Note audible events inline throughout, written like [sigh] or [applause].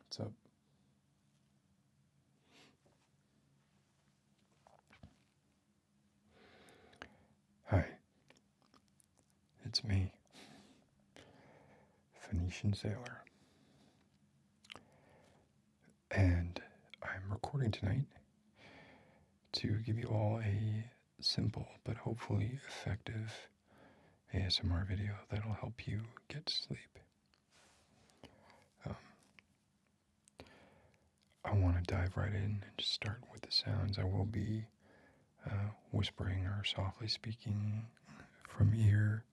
What's up? Hi, it's me, Phoenician Sailor. And I'm recording tonight to give you all a simple but hopefully effective ASMR video that'll help you get sleep. Um, I want to dive right in and just start with the sounds. I will be uh, whispering or softly speaking from ear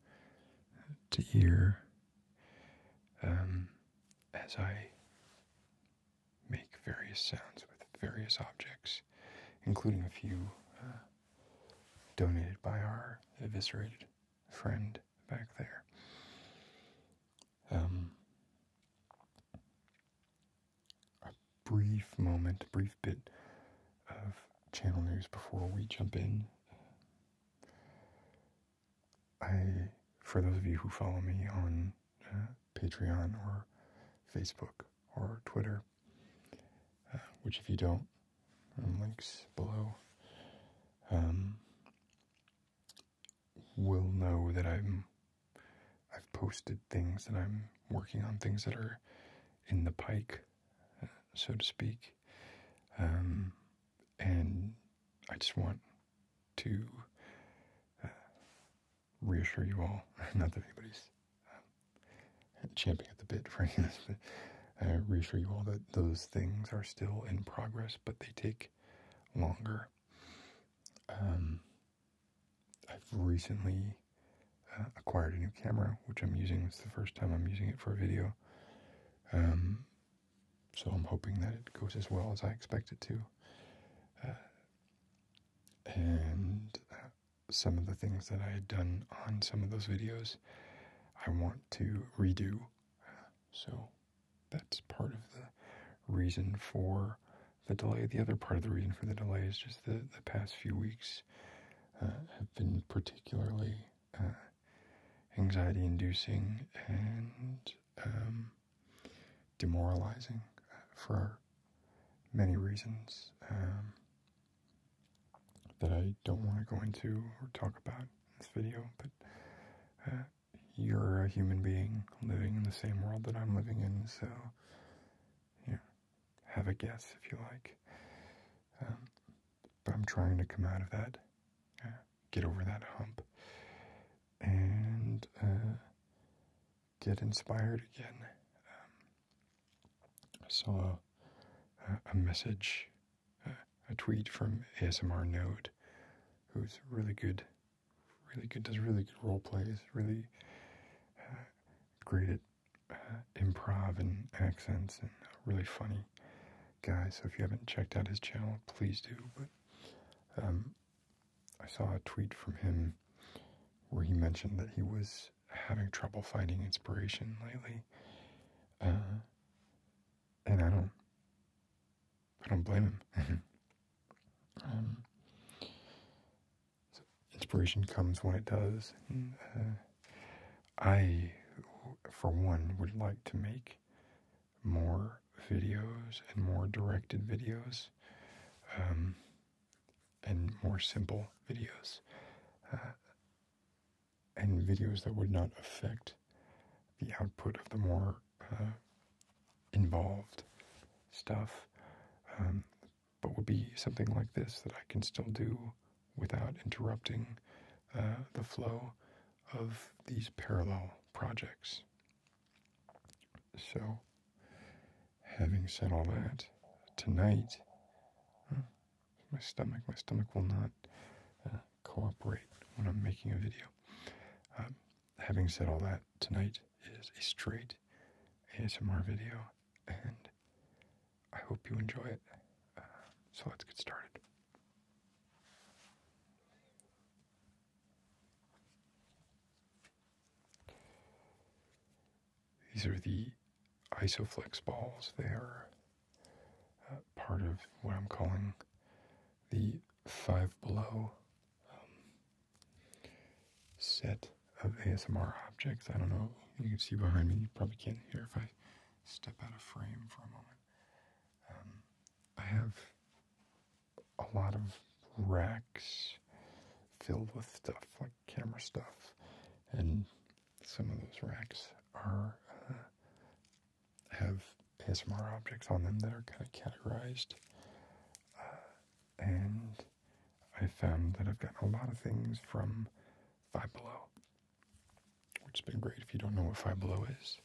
to ear um, as I make various sounds with various objects including a few uh, donated by our eviscerated friend back there. Um, a brief moment, a brief bit of channel news before we jump in. I, for those of you who follow me on uh, Patreon or Facebook or Twitter, uh, which if you don't, um, links below, um, will know that I'm I've posted things that I'm working on, things that are in the pike, uh, so to speak, um, and I just want to uh, reassure you all, [laughs] not that anybody's um, champing at the bit for any of this, but I reassure you all that those things are still in progress, but they take longer. Um, I've recently uh, acquired a new camera, which I'm using. It's the first time I'm using it for a video. Um, so I'm hoping that it goes as well as I expect it to. Uh, and uh, some of the things that I had done on some of those videos, I want to redo. So that's part of the reason for the delay. The other part of the reason for the delay is just the, the past few weeks uh, have been particularly uh, anxiety inducing and um, demoralizing uh, for many reasons um, that I don't want to go into or talk about in this video, but uh, you're a human being living in the same world that I'm living in, so you have a guess if you like. Um, but I'm trying to come out of that, uh, get over that hump, and uh, get inspired again. Um, I saw a, message, a, tweet from ASMR Node, who's really good, really good, does really good role plays, really uh, great at uh, improv and accents, and really funny guy. So if you haven't checked out his channel, please do. But um, I saw a tweet from him where he mentioned that he was having trouble finding inspiration lately. Uh, and I don't, I don't blame him. [laughs] Um, inspiration comes when it does. Uh, I, for one, would like to make more videos and more directed videos. Um, and more simple videos uh, and videos that would not affect the output of the more uh, involved stuff um, but would be something like this that i can still do without interrupting uh, the flow of these parallel projects so, having said all that, tonight, hmm, my stomach, my stomach will not uh, cooperate when I'm making a video. Um, having said all that, tonight is a straight ASMR video, and I hope you enjoy it. Uh, so let's get started. These are the Isoflex balls. They are uh, part of what I'm calling the Five Below um, set of ASMR objects. I don't know. You can see behind me. You probably can't hear if I step out of frame for a moment. Um, I have a lot of racks filled with stuff like camera stuff, and some of those racks are uh, have ASMR objects on them that are kind of categorized. Uh, and I found that I've gotten a lot of things from Five Below, which has been great. If you don't know what Five Below is,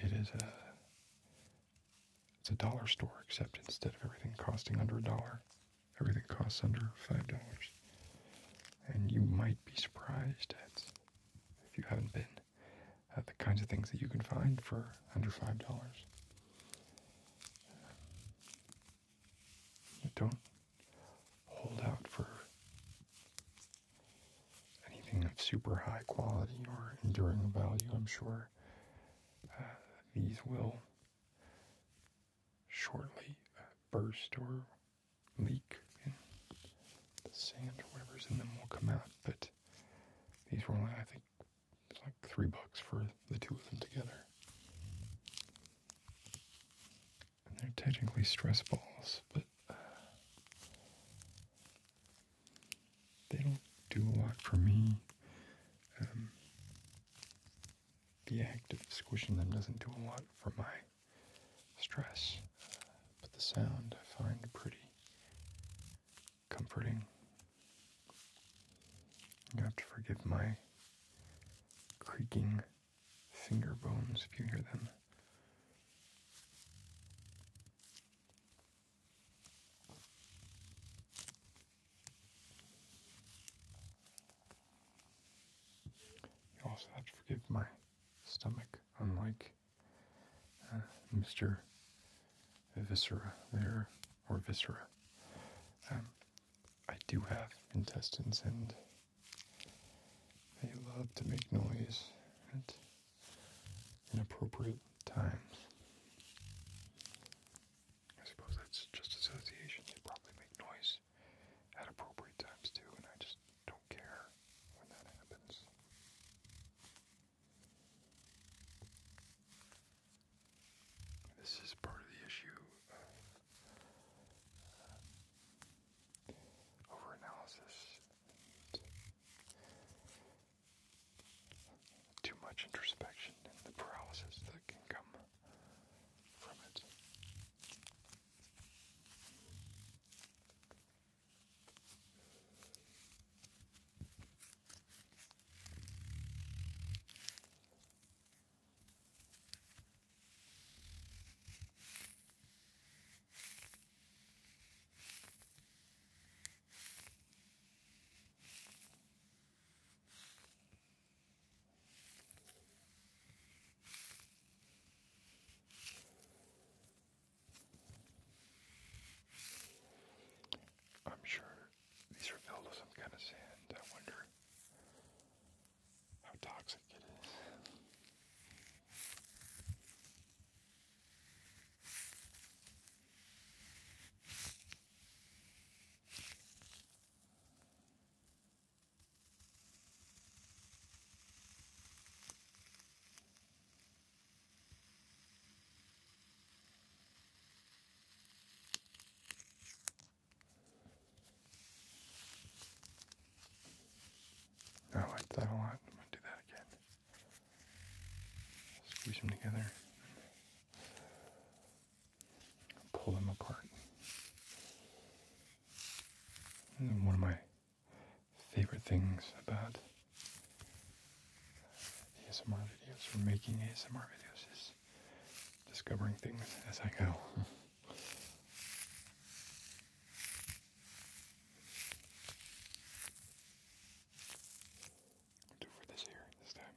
it is a it's a dollar store, except instead of everything costing under a dollar, everything costs under five dollars. And you might be surprised at, if you haven't been, at the kinds of things that you can find for under five dollars. Don't hold out for anything of super high quality or enduring value. I'm sure these will shortly burst or leak, and the sand or whatever's in them will come out. But these were only, I think, it's like three bucks for the two of them together. And they're technically stress balls, but uh, they don't do a lot for me. Um, the act of squishing them doesn't do a lot for my stress, but the sound I find pretty comforting. You have to forgive my creaking finger bones if you hear them. You also have to forgive my stomach, unlike uh, Mr. Viscera there, or Viscera. Um, I do have intestines and they love to make noise at inappropriate times. I suppose that's just association. They probably make noise at appropriate times too, and I just don't care when that happens. This is part of the issue uh, overanalysis too much introspection and the paralysis that can come from it. I'm sure these are filled with some kind of sand. I wonder how toxic it is. Oh, I like that a lot. I'm going to do that again. Squeeze them together. Pull them apart. And one of my favorite things about ASMR videos or making ASMR videos is discovering things as I go. [laughs] do for this here this time.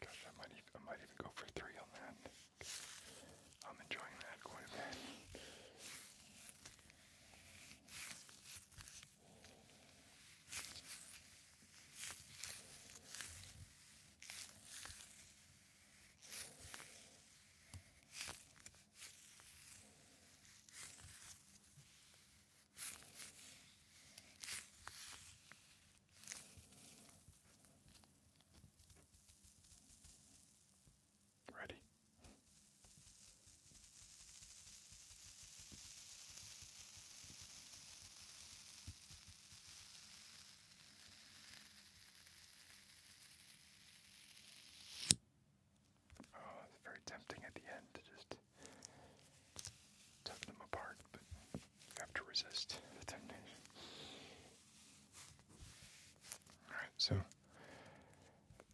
Gosh, I might, even, go for three on that. I'm enjoying that quite a bit. Ready. Oh, it's very tempting at the end to just tugging them apart, but have to resist temptation. Alright, so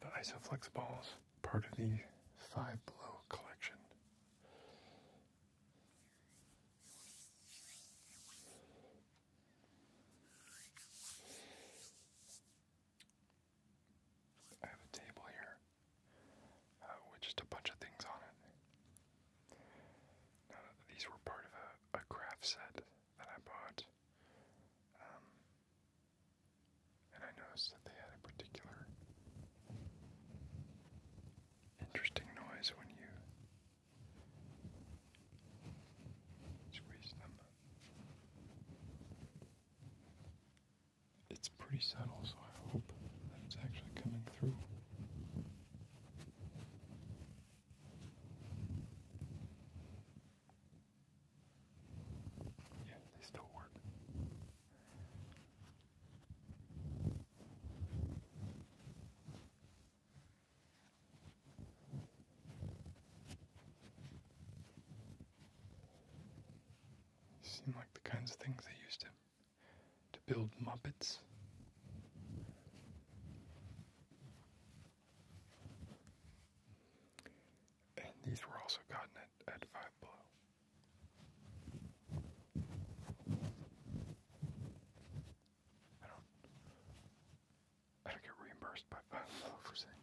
the Isoflex balls, part of the Five Blow collection. I have a table here uh, with just a bunch of things on it. these were part of a, a craft set that I bought, um, and I noticed that they had a particular interesting noise when you squeeze them. It's pretty subtle, so I hope that it's actually coming through. Yeah, they still work. Seem like the kinds of things they used to to build Muppets. And these were also gotten at, at Five Below. I don't, I don't get reimbursed by Five Below for saying that.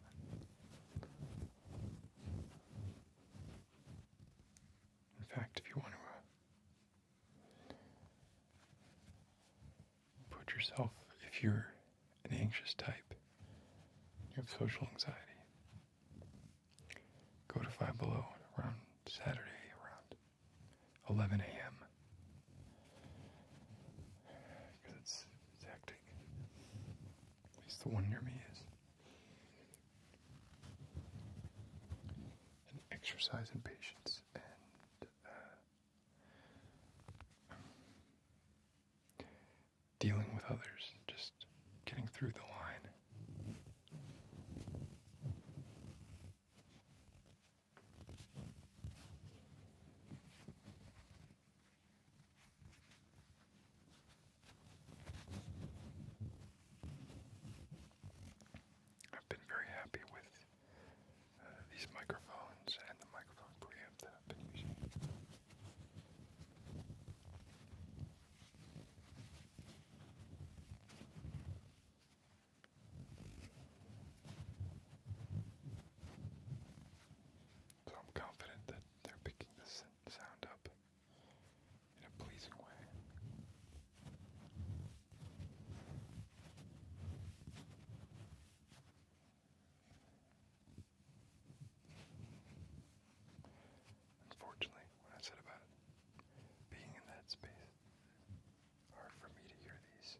In fact, if you want to uh, put yourself, if you're an anxious type, you have social anxiety, go to Five Below around Saturday around 11 a.m. Because it's, it's hectic. At least the one near me is and exercise in patience and uh, dealing with others, just getting through the line. I've been very happy with uh, these microphones and the microphone preamp that I've been using. So I'm confident that they're picking this sound up in a pleasing way. Unfortunately, what I said about being in that space, hard for me to hear these.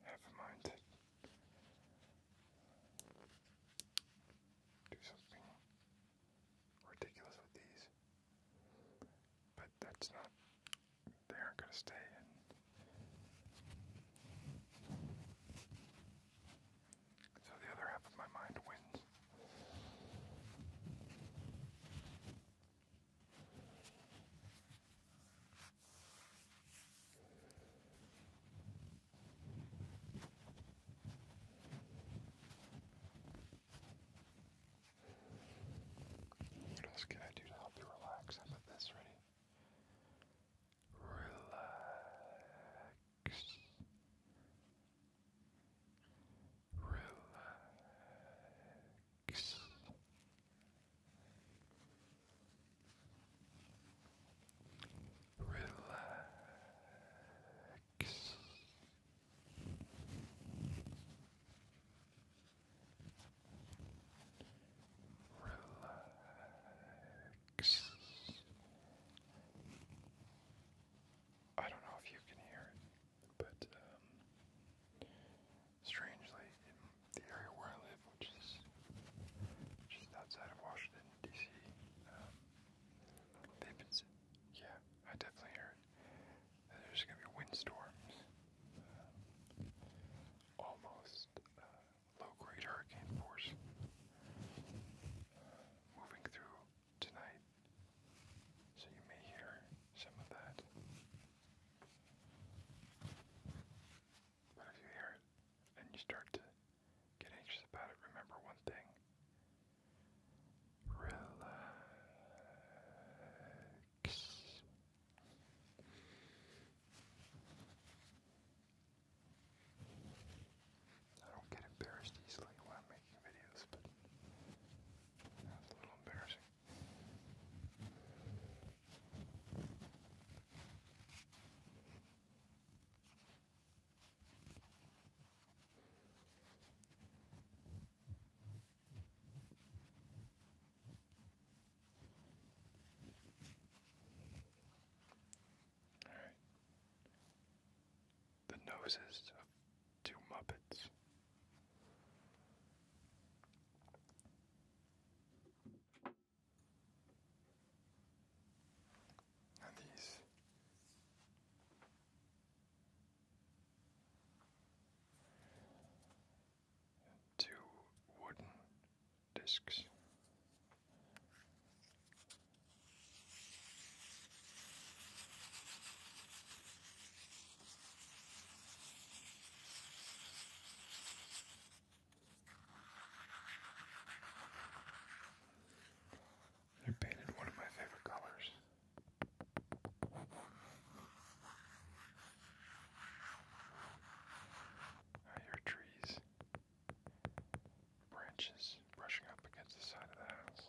Never mind it. Do something ridiculous with these. But that's not. They aren't going to stay So the other half of my mind wins. What else can I do to help you relax? How about this? Ready? Relax relax. Relax. Relax. I don't know if you can hear it. But um, strangely, in the area where I live, which is just outside of Washington D.C., um, yeah, I definitely hear it. there's going to be windstorms, um, uh, almost low-grade hurricane force, uh, moving through tonight. So you may hear some of that. But if you hear it and you start to get anxious about it, remember one thing. Relax. I don't get embarrassed easily when I'm making videos, but that's a little embarrassing. The noses two Muppets. these two wooden discs they painted one of my favorite colors. I hear trees, branches brushing up against the side of the house.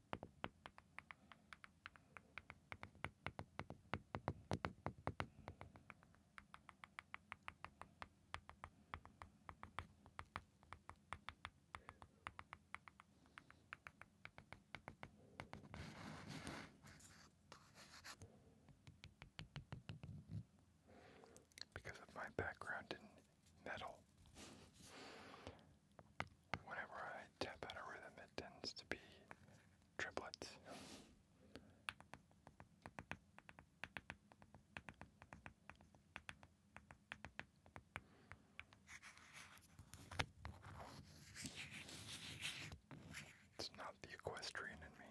Because of my background in metal, whenever I tap out a rhythm, it tends to be triplets. It's not the equestrian in me.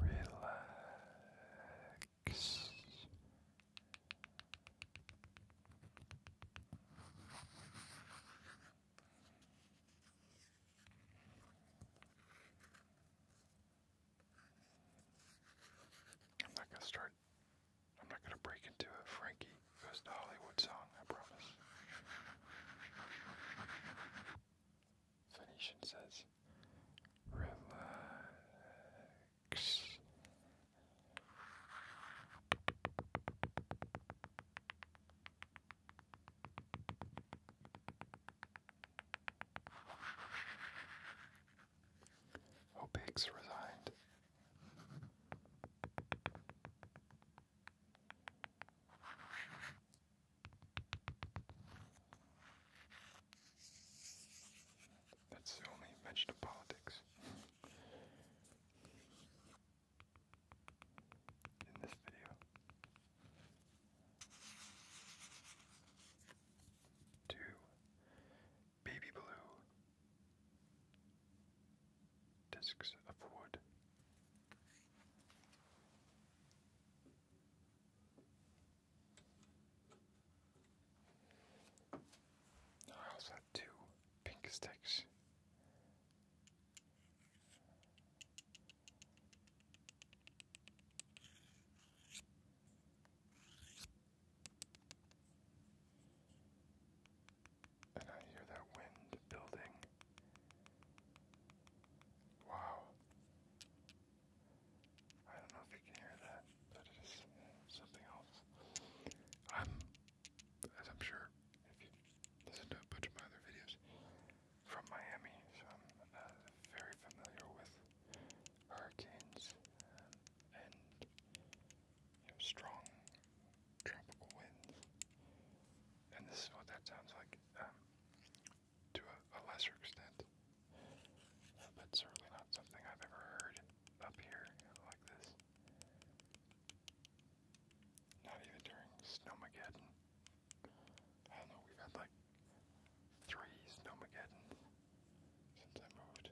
Relax. I'm not going to start, I'm not going to break into a Frankie Goes to Hollywood song, I promise. Phoenician says, relax. Opix resigned. That's the only mention of politics in this video. Two, baby blue discs of wood. I also have two pink sticks and I hear that wind building. Wow. I don't know if you can hear that, but it is something else. i as I'm sure if you listen to a bunch of my other videos, from Miami, so I'm uh, very familiar with hurricanes uh, and strong tropical winds. And this is what that sounds like um, to a, lesser extent. but certainly not something I've ever heard up here like this. Not even during Snowmageddon. I know, we've had like three Snowmageddons since I moved.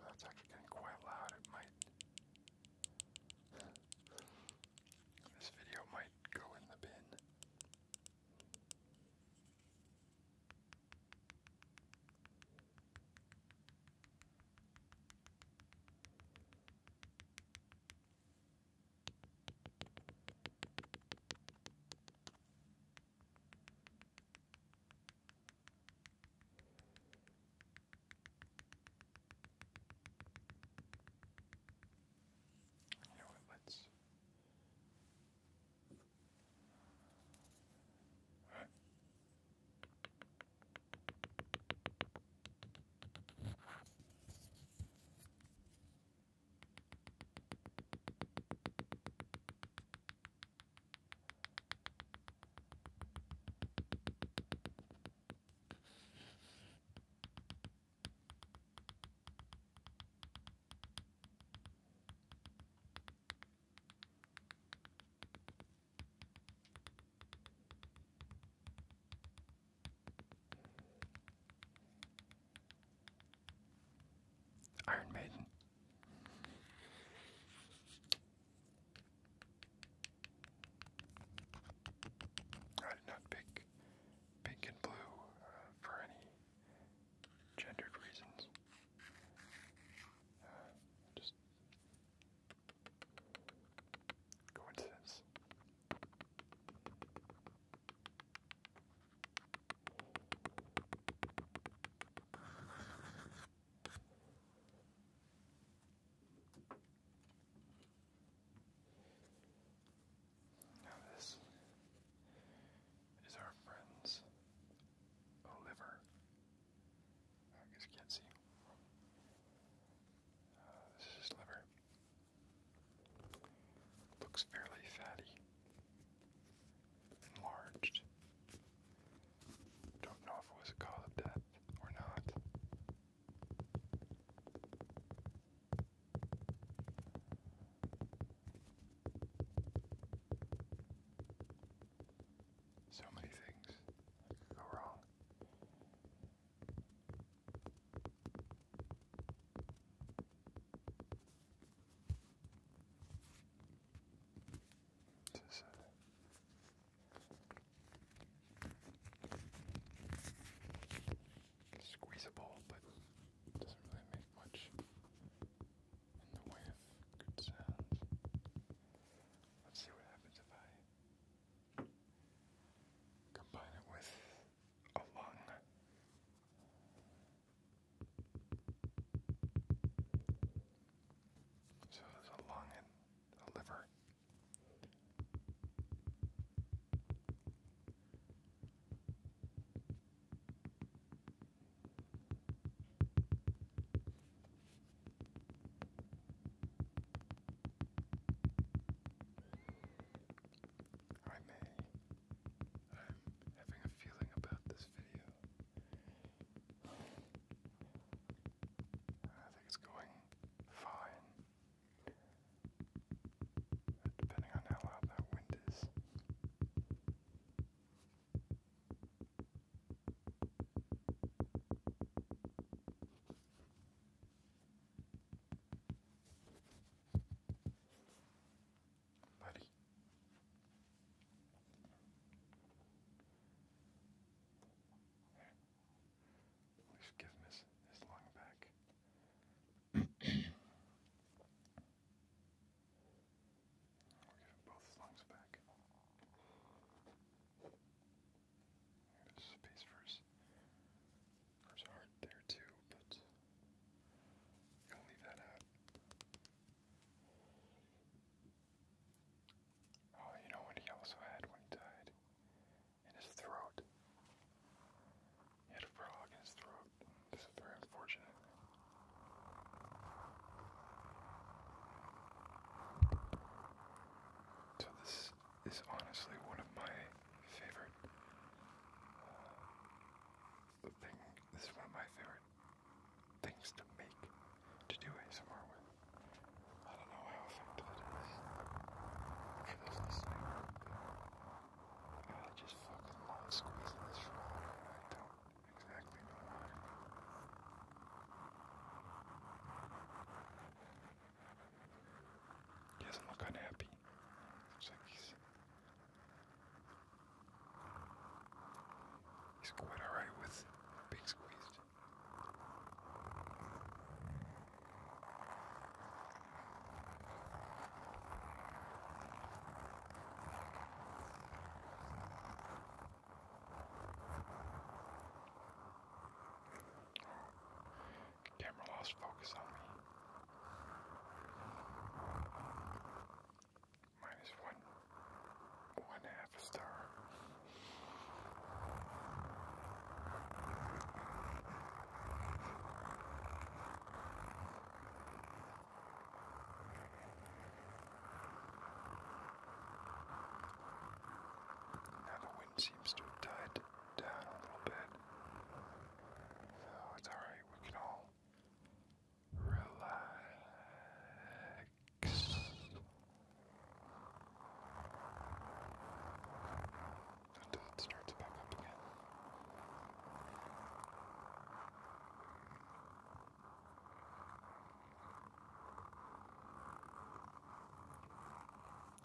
that's actually getting quite loud. It might this video might go in the bin. You know what? Let's. All right. Iron Maiden. I did not pick pink and blue uh, for any gendered reasons. Uh, just coincidence this is our friend's liver. I guess you can't see. Uh, this is liver. Looks fairly fatty, enlarged, don't know if it was a call of death or not. So many things could go wrong. This it's squeezable, but doesn't really make much in the way of good sounds. Let's see what happens if I combine it with a lung. So there's a lung and I may. I'm having a feeling about this video I think it's going fine. Depending on how loud that wind is. Buddy. At least give him his, his lung back. We'll give him both his lungs back. There's space for his, for heart there too, but gonna leave that out. Oh, you know what he also had when he died? In his throat. He had a frog in his throat. This is very unfortunate. So this is honestly one of my favorite uh, thing. This is one of my favorite things to make to do ASMR with. I don't know how effective it is for I just fucking love squeezing this shit and I don't exactly know why. He doesn't look unhappy. Looks he's quite alright with being squeezed. Camera lost focus on me. Minus one one half a star. Now the wind seems to have died down a little bit. So it's alright, we can all relax until it starts back up again.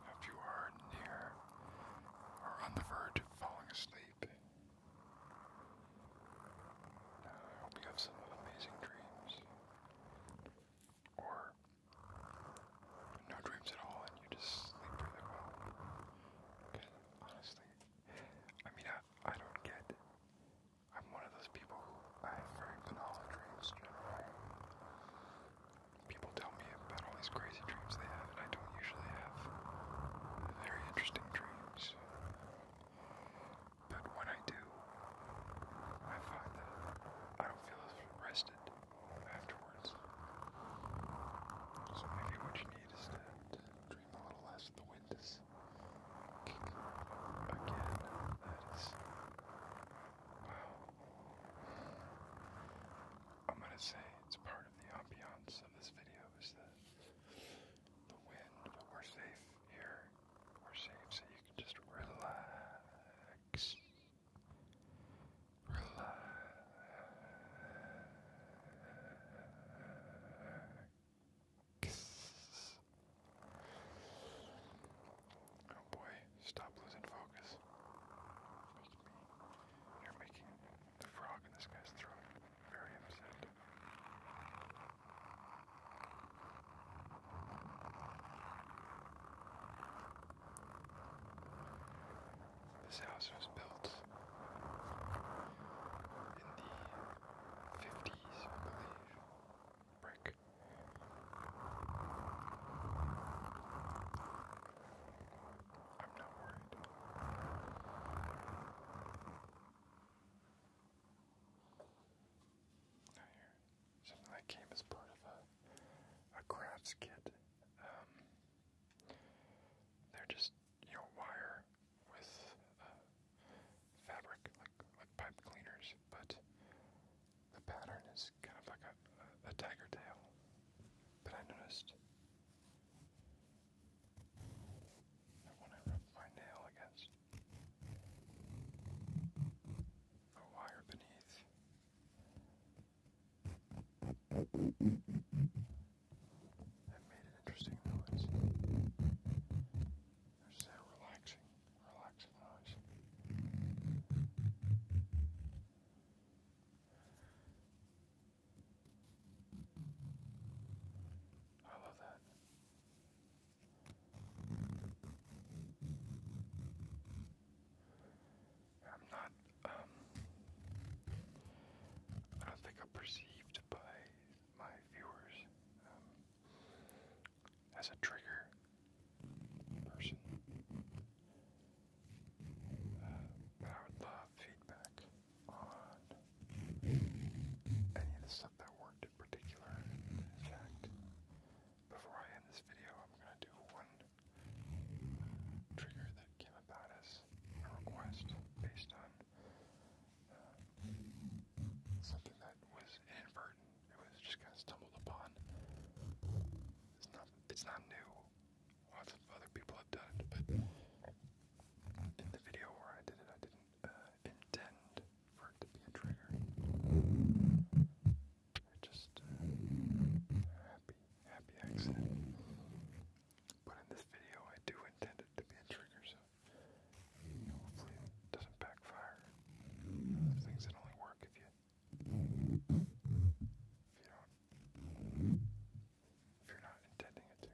If you are near or on the verge of falling asleep, I hope you have some amazing dreams or no dreams at all and you just sleep really well. Because honestly, I mean, I, I don't get. I'm one of those people who I have very banal dreams generally. People tell me about all these crazy dreams they have, and I don't usually have very interesting dreams. But when I do, I find that I don't feel as rested afterwards. So maybe what you need is to dream a little less the wind is again. That is. Wow. I'm gonna say it's part of the ambiance of this video is that the wind, we're safe here. We're safe, so you can just relax. Relax. Oh boy, stop losing focus. You're making the frog in this guy's throat very upset. This house was built in the fifties, I believe. Brick. I'm not worried. Not here something that came as part of a, a crafts kit. Um, they're just, you wire with uh, fabric, like, like pipe cleaners, but the pattern is kind of like a, a tiger tail. But I noticed that when I rub my nail against a wire beneath. That made an interesting noise. There's that relaxing, relaxing noise. I love that. I'm not, um, I don't think I'm perceived by my viewers um, as a trigger person. Uh, but I would love feedback on any of the stuff that we particular. In before I end this video, I'm going to do one trigger that came about as a request based on uh, something that was inadvertent. It was just kind of stumbled upon. It's not. It's not new. Lots of other people have done it, but in the video where I did it, I didn't uh, intend for it to be a trigger. Just uh, happy, happy accident. But in this video, I do intend it to be a trigger, so hopefully it doesn't backfire. things that only work if you if you don't if you're not intending it to.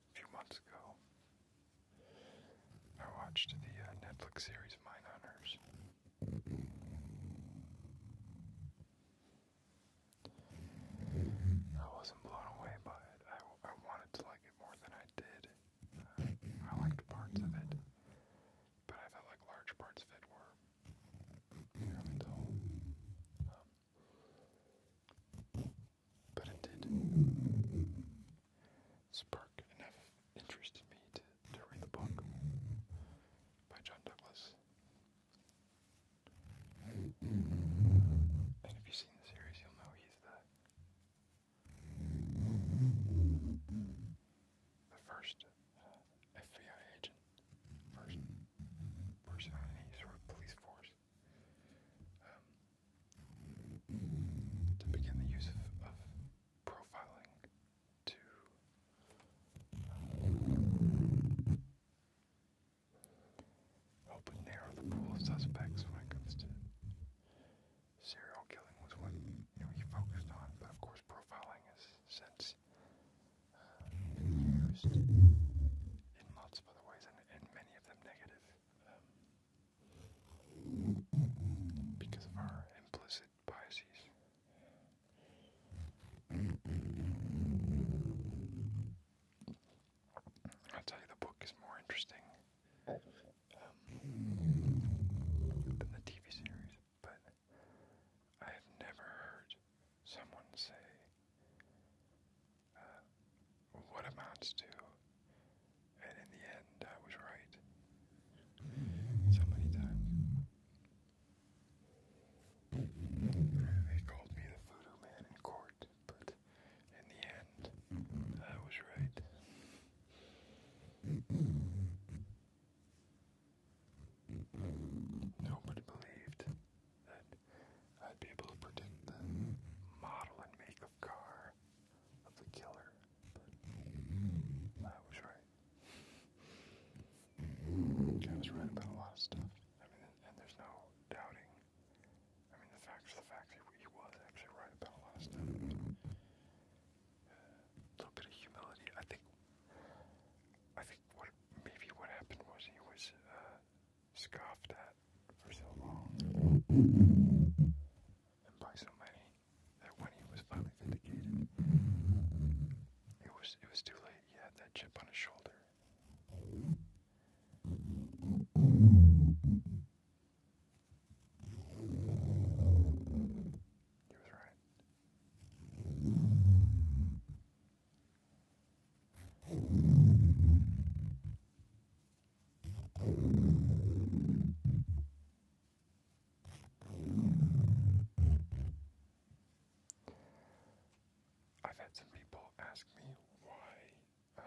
a few months ago. I watched the uh, Netflix series Mine Hunters. I wasn't blown away by it. I, I wanted to like it more than I did. Uh, I liked parts of it, but I felt like large parts of it were but it did spark enough interest in me to, to read the book by John Douglas. And if you've seen the series, you'll know he's the the first uh, FBI agent, first person in any sort of police force um, to begin the use of, profiling to help narrow the pool of suspects when it comes to serial killing was what you know he focused on, but of course profiling has since uh, been used in lots of other ways and many of them negative. Um, because of our implicit biases. i tell you, the book is more interesting um, than the TV series, but I have never heard someone say uh, what amounts to. And in the end, I was right. So many times. They called me the voodoo man in court, but in the end, I was right. Nobody believed that I'd be able to predict the model and make of car of the killer, but I was right. I was right about a lot of stuff. I mean, and there's no doubting. I mean, the facts are the facts. He was actually right about a lot of stuff. A little bit of humility. I think. I think what maybe what happened was he was uh, scoffed at for so long, and by so many that when he was finally vindicated, it was it was too late. He had that chip on his shoulder. He was right. I've had some people ask me why um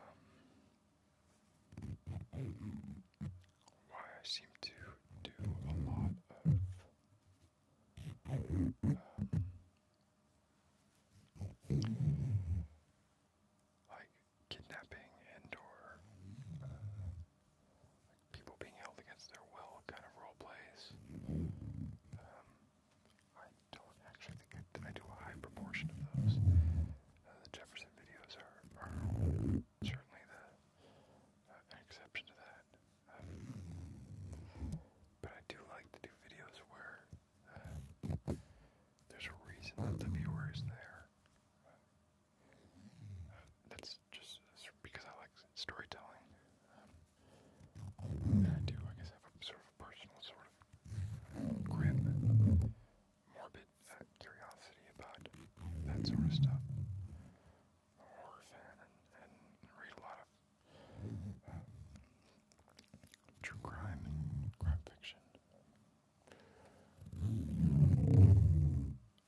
why I seem to do a lot of um, like kidnapping and or uh, people being held against their will kind of role plays. Um, I don't actually think I, I do a high proportion of those. Uh, the Jefferson videos are, certainly an uh, exception to that. Um, but I do like to do videos where there's a reason that the viewers there. that's just because I like storytelling. Um, I do, I guess, have a sort of personal sort of grim, morbid uh, curiosity about that sort of stuff. horror fan and, read a lot of um, true crime crime fiction.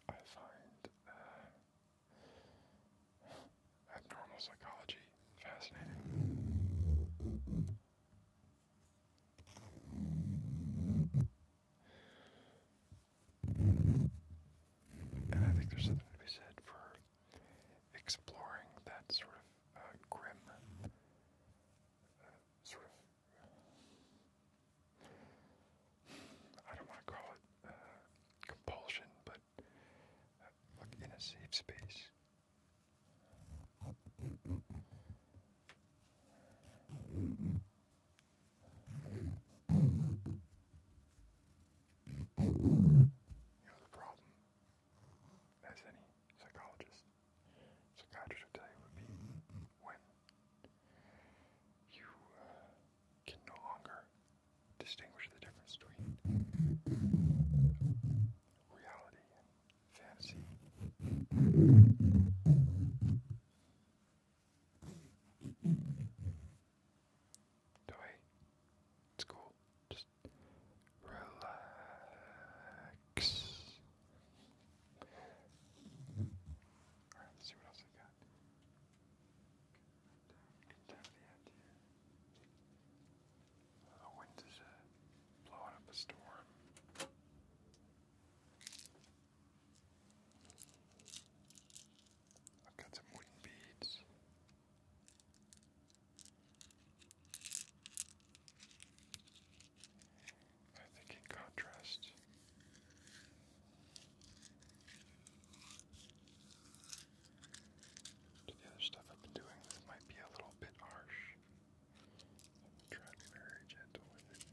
I find uh, abnormal psychology fascinating. And I think there's something to be said for exploring that sort of uh, grim sort of, I don't want to call it uh, compulsion, but uh, in a safe space. You know, the problem as any psychologist, psychiatrist would tell you, would be when you uh, can no longer distinguish the difference between reality and fantasy. So hey, it's cool. Just Relax. All right, let's see what else I got. the wind is blowing up a storm. I've got some wooden beads. I think in contrast, to the other stuff I've been doing, this might be a little bit harsh. I'm trying to be very gentle with it.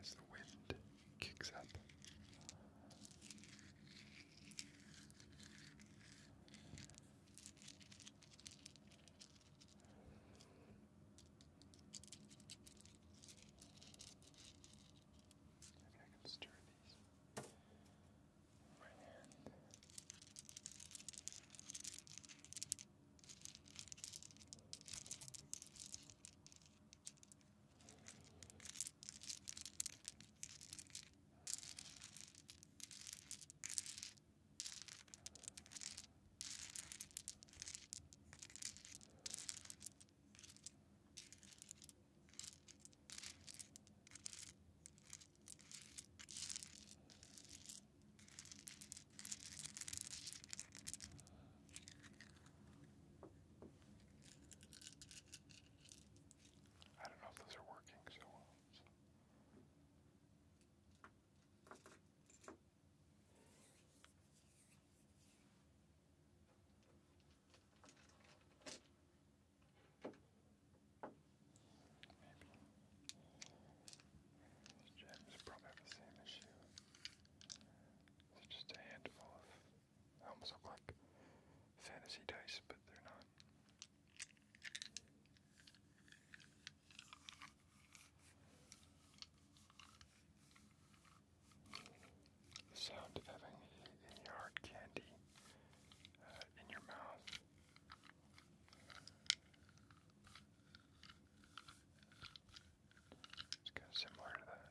As the wind kicks up. Maybe I can stir these with my hand. There I don't know if those are working so well. Those gems probably have the same issue. It's just a handful of. almost look like fantasy dice, but they're not. The sound of having in hard candy uh, in your mouth. It's kind of similar to that.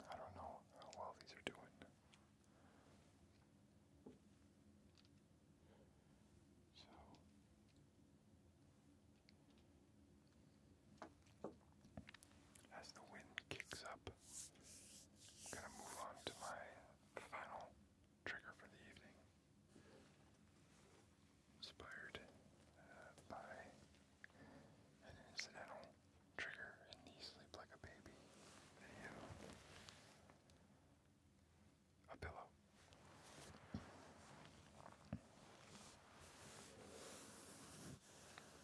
I don't know how well these are doing. So as the wind kicks up, I'm going to move on to my final trigger for the evening. Inspired uh, by an incidental trigger in Sleep Like a Baby A pillow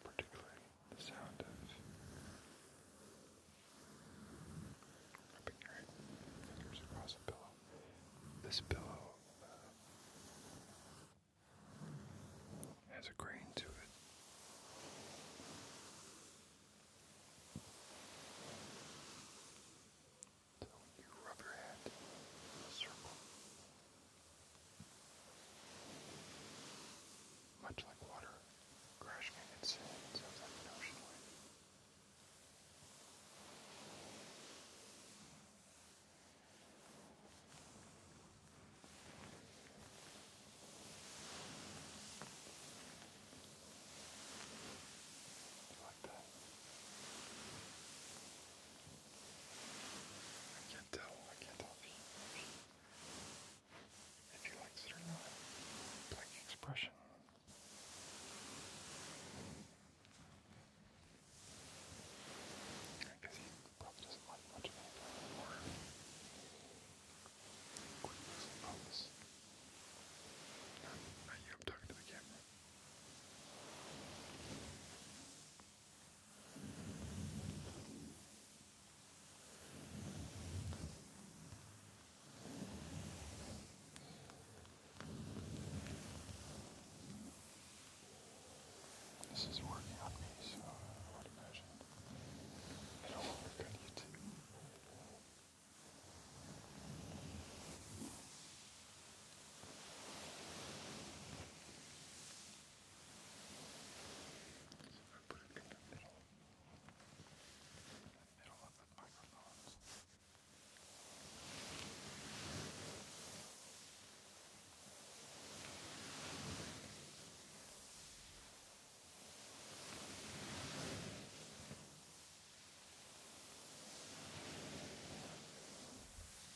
particularly the sound of rubbing your fingers across a pillow. This pillow uh, has a grain to it. So when you rub your hand in a circle, much like water crashing against sands of an ocean wave. Like that. I can't tell. I can't tell if he, if he likes it or not. Blank expression. I guess he probably doesn't like much of anything anymore. Quit losing focus. Not, not you, I'm talking to the camera. This is working on me, so I would imagine it'll work on you too. So I put it in the middle, in the middle of the microphones. Now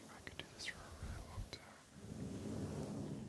I could do this for a really long time. I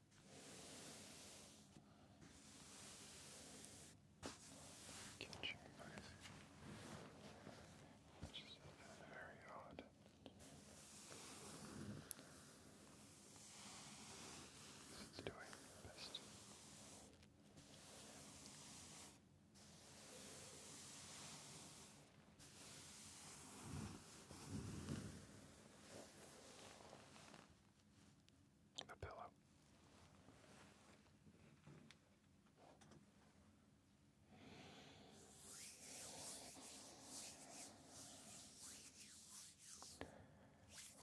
Catching mice, which is very odd. It's doing best the pillow.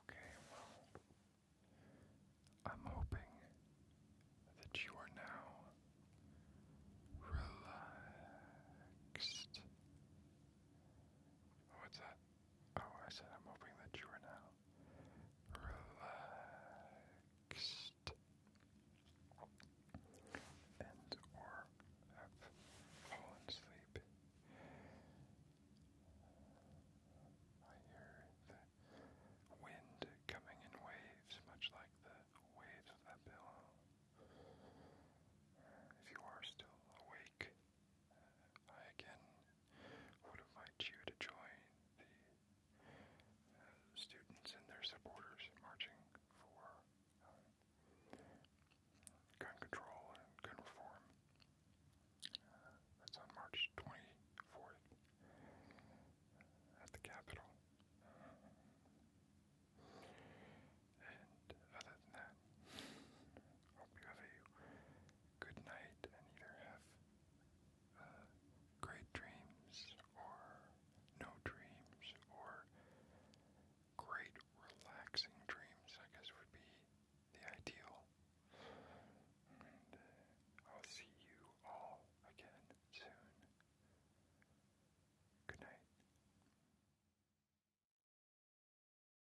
Okay, well, I'm hoping that you are now relaxed. What's that? Oh, I said I'm hoping that you are now relaxed and or have fallen asleep. I hear the wind coming in waves, much like the waves of that pillow. If you are still awake, like, I again would invite you to join the uh, students and their supporters marching for uh, gun control and gun reform. Uh, that's on March 24th at the Capitol. And other than that, Hope you have a good night and either have uh, great dreams or no dreams or great relaxing dreams, I guess would be the ideal. And uh, I'll see you all again soon. Good night.